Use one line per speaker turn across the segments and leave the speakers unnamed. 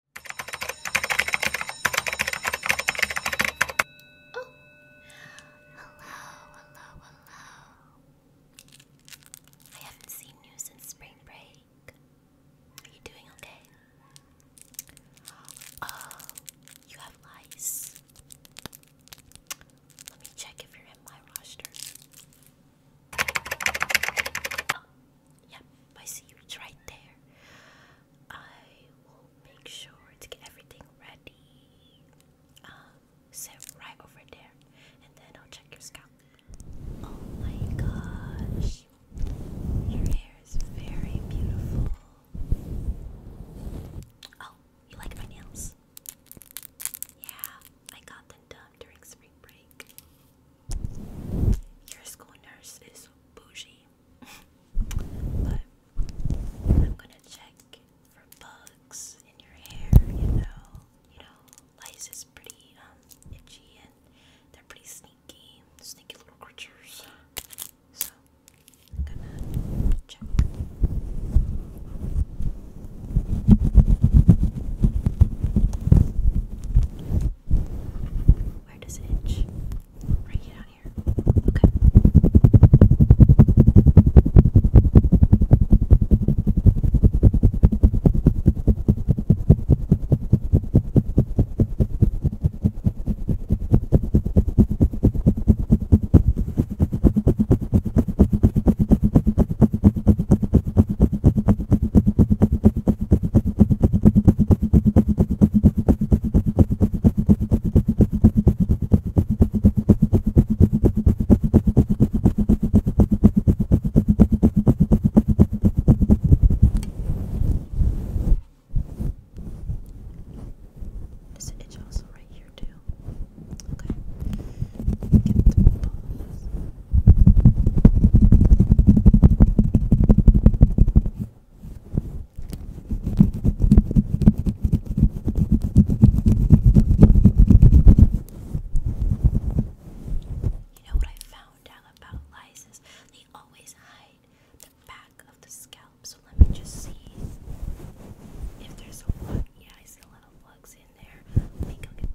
Oh, hello, hello, hello. I haven't seen you since spring break. Are you doing okay? Oh, you have lice. Let me check if you're in my roster. Yep, I see you. It's right there. I will make sure to get everything ready. Um, sit right over there, and then I'll check your scalp. Oh my gosh, your hair is very beautiful. Oh, you like my nails? Yeah, I got them done during spring break. Your school nurse is bougie. but I'm gonna check for bugs in your hair, you know. You know, lice is pretty um itchy and they're pretty sneaky, sneaky little creatures. So I'm gonna check where does it itch? Right down here. Okay.
Is it itch also right here too? Okay. Get the balls. You
know what I found out about lysis? They always hide the back of the scalp. So let me just see if there's a plug. Yeah, I see a lot of plugs in there. Let me go get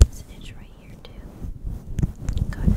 There's an itch right here too. God.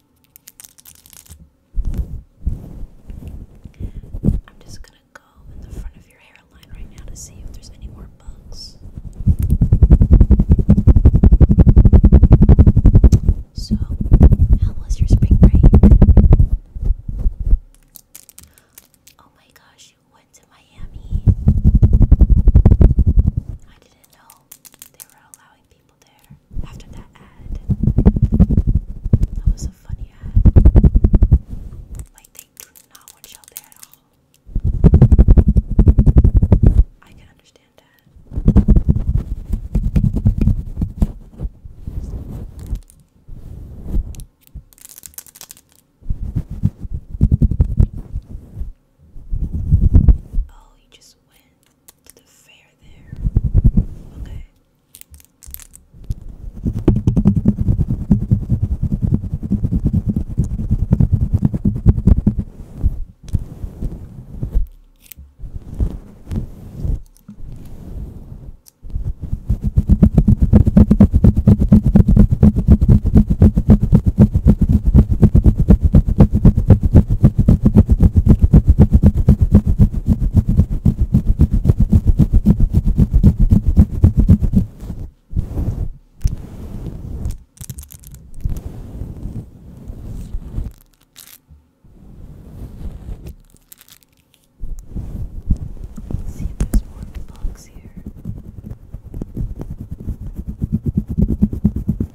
I'm just gonna go in the front of your hairline right now to see if there's any more bugs. So, how was your spring break? Oh my gosh, you went to Miami. I didn't know they were allowing people after that ad. That was a funny ad. Like, they do not want Shell there at all. I can understand that. Oh, you just went to the fair there. Okay. Let's see if there's more blocks here.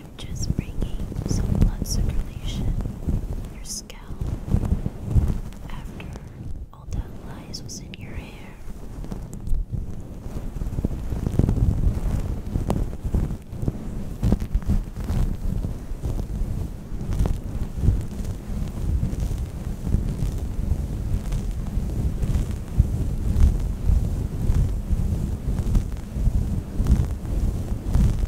I'm just bringing some blood circulation your scalp tail after all that lies was in your hair.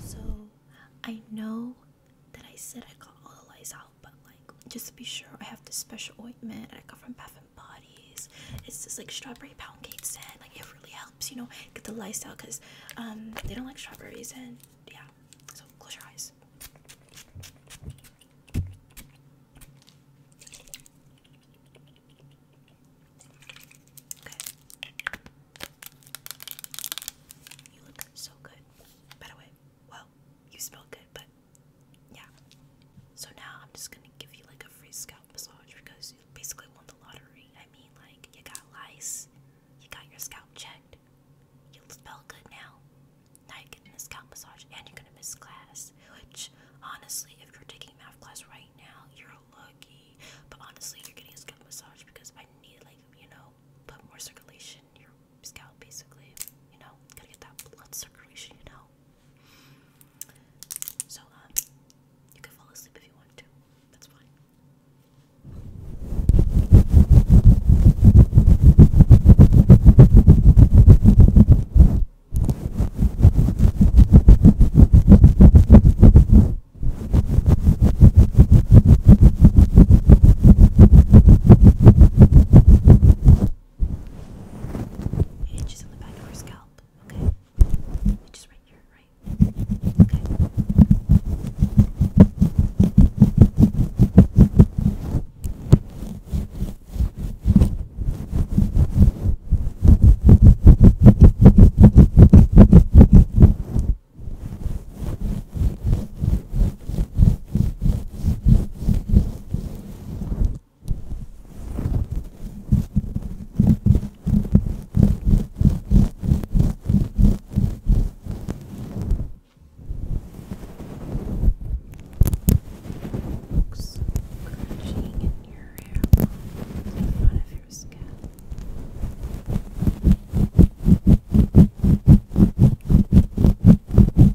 So I know that I said I got all the lies out but like just to be sure, I have this special ointment that I got from Bath and Bodies. It's this like strawberry pound cake scent. Like it really helps, you know, get the lice out because um, they don't like strawberries and yeah. So close your eyes. Okay. You look so good. By the way, well, you smell good, but yeah. So now I'm just gonna give you like a free scalp massage because you basically won the lottery. I mean, like, you got lice, you got your scalp checked, you smell good now. Now you're getting a scalp massage and you're gonna miss class. Which, honestly, if you're taking math class right now, you're lucky. But honestly, you're getting a scalp massage because I need, like, you know, put more circulation in your scalp, basically. You know, gotta get that blood circulation, you know. So, um, you can fall asleep if you want to. That's fine inches on the back of her scalp, okay? Itches right here, right? Okay.
Looks crunching in your hair in front of your scalp. Good.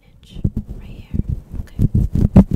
an inch right here. Okay. Okay.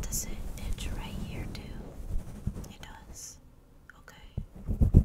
Does it itch right here too? It does. Okay.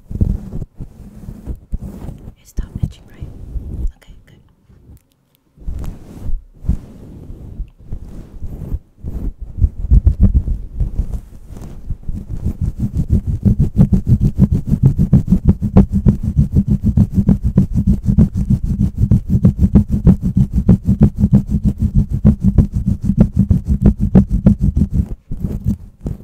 It stopped itching, right? Okay, good.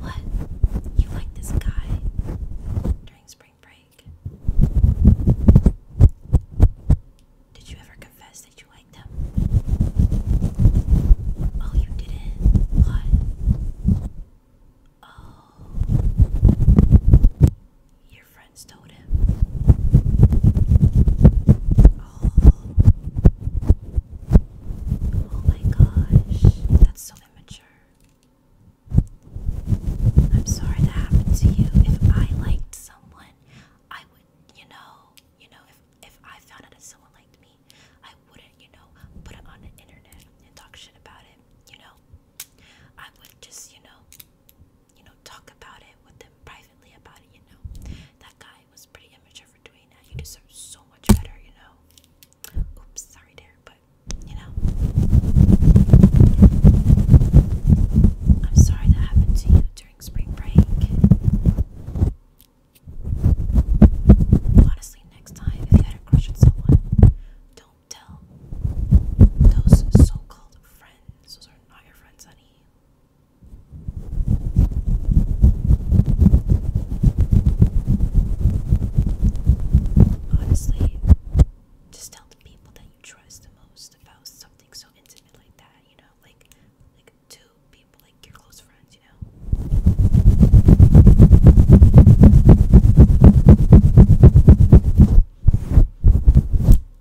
What? You like this guy during spring break? Did you ever confess that you liked him? Oh, you didn't? What? Oh. Your friends told him awful. Oh my gosh, that's so immature. I'm sorry that happened to you. If I liked someone, I would, you know, you know, if if I found out that someone liked me, I wouldn't, you know, put it on the internet and talk shit about it, you know. I would just, you know, you know, talk about it with them privately about it, you know. That guy probably was pretty immature for doing that. You deserve so much better, you know. Oops, sorry there, but you know. I'm sorry that happened to you during spring break. Honestly, next time if you had a crush on someone, don't tell those so-called
friends. Those are not your friends, honey. Honestly, just tell the people that you trust most about something so intimate like that, you know, like like two people, like your close friends, you know.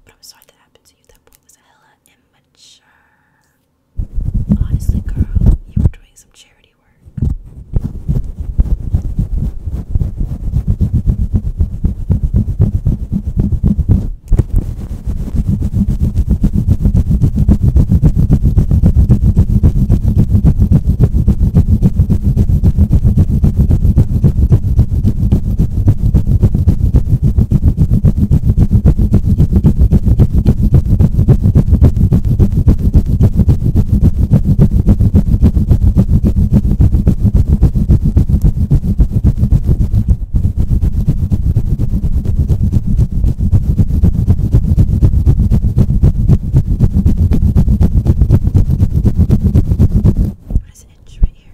But I'm sorry that happened to you. That boy was a hella immature. Honestly, girl, you were doing some charity work. There's an inch right here.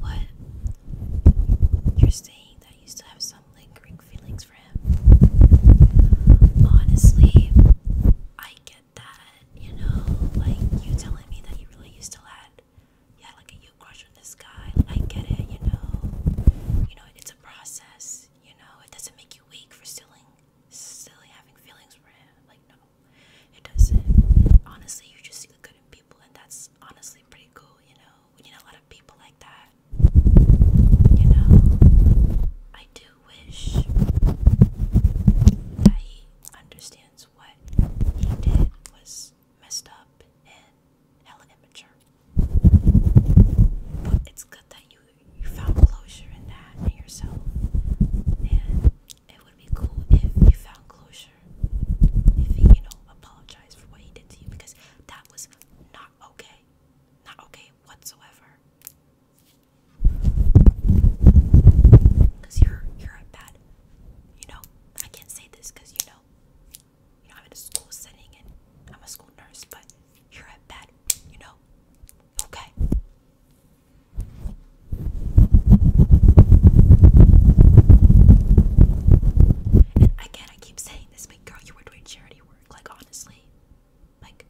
What? You're saying that you still have some lingering feelings for him? Honestly, I get that, you know? Like, you telling me that you really used to let, yeah, like a you crush on this guy. I get it, you know?
You know, it's a process, you know? It doesn't make you weak for stealing, silly having feelings for him. Like, no, it doesn't. Honestly, you just see the good in people, and that's honestly pretty cool, you know? We need a lot of people like that. You know, I do wish he understands what he did was messed up and hella But it's good that you you found closure in that in yourself. And it would be cool if you found closure. If he, you know, apologized for what he did to you because that was not okay. Not okay whatsoever. Cause you're you're a bad, you know. I can't say this because you know, you know I'm in a school setting and I'm a school nurse, but you're a bad, you know. Okay.
And again, I keep saying this, but girl, you were doing charity work. Like honestly, like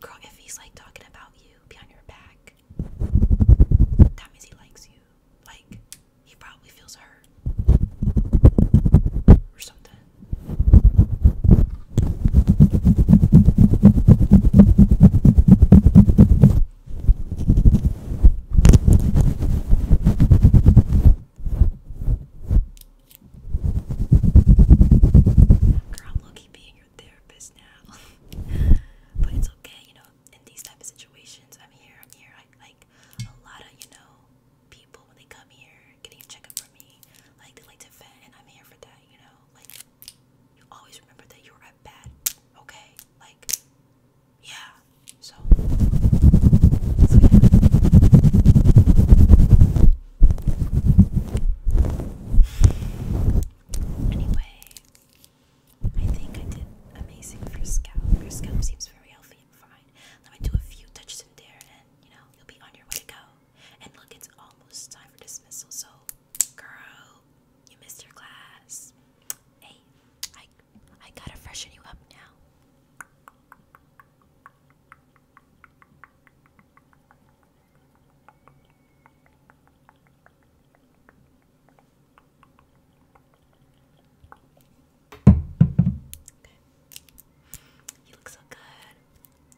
girl, if he's like talking about about your back. That means he likes you. Like, he probably feels hurt. Or something. Girl, I'm low being your therapist now. but it's okay, you know, in these type of situations, I'm here, I'm here. I like a lot of, you know, people when they come here getting a checkup from me, like they like to vent and I'm here for that, you know. Like you always remember that you're at bat, okay? Like yeah. So, so yeah. Anyway, I think I did amazing for your scalp. Your scalp seems very healthy and fine. Let me do a few touches in there and, you know, you'll be on your way to go. And look, it's almost time for dismissal, so, girl, you missed your class. Hey, I, I gotta freshen you up now. Okay. You look so good.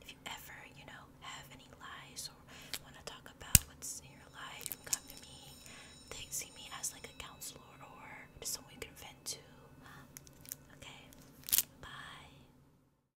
If you ever, you know, have any lies or want to talk about what's in your life, you can come to me. They see me as like a counselor or just someone you can vent to. Okay. Bye.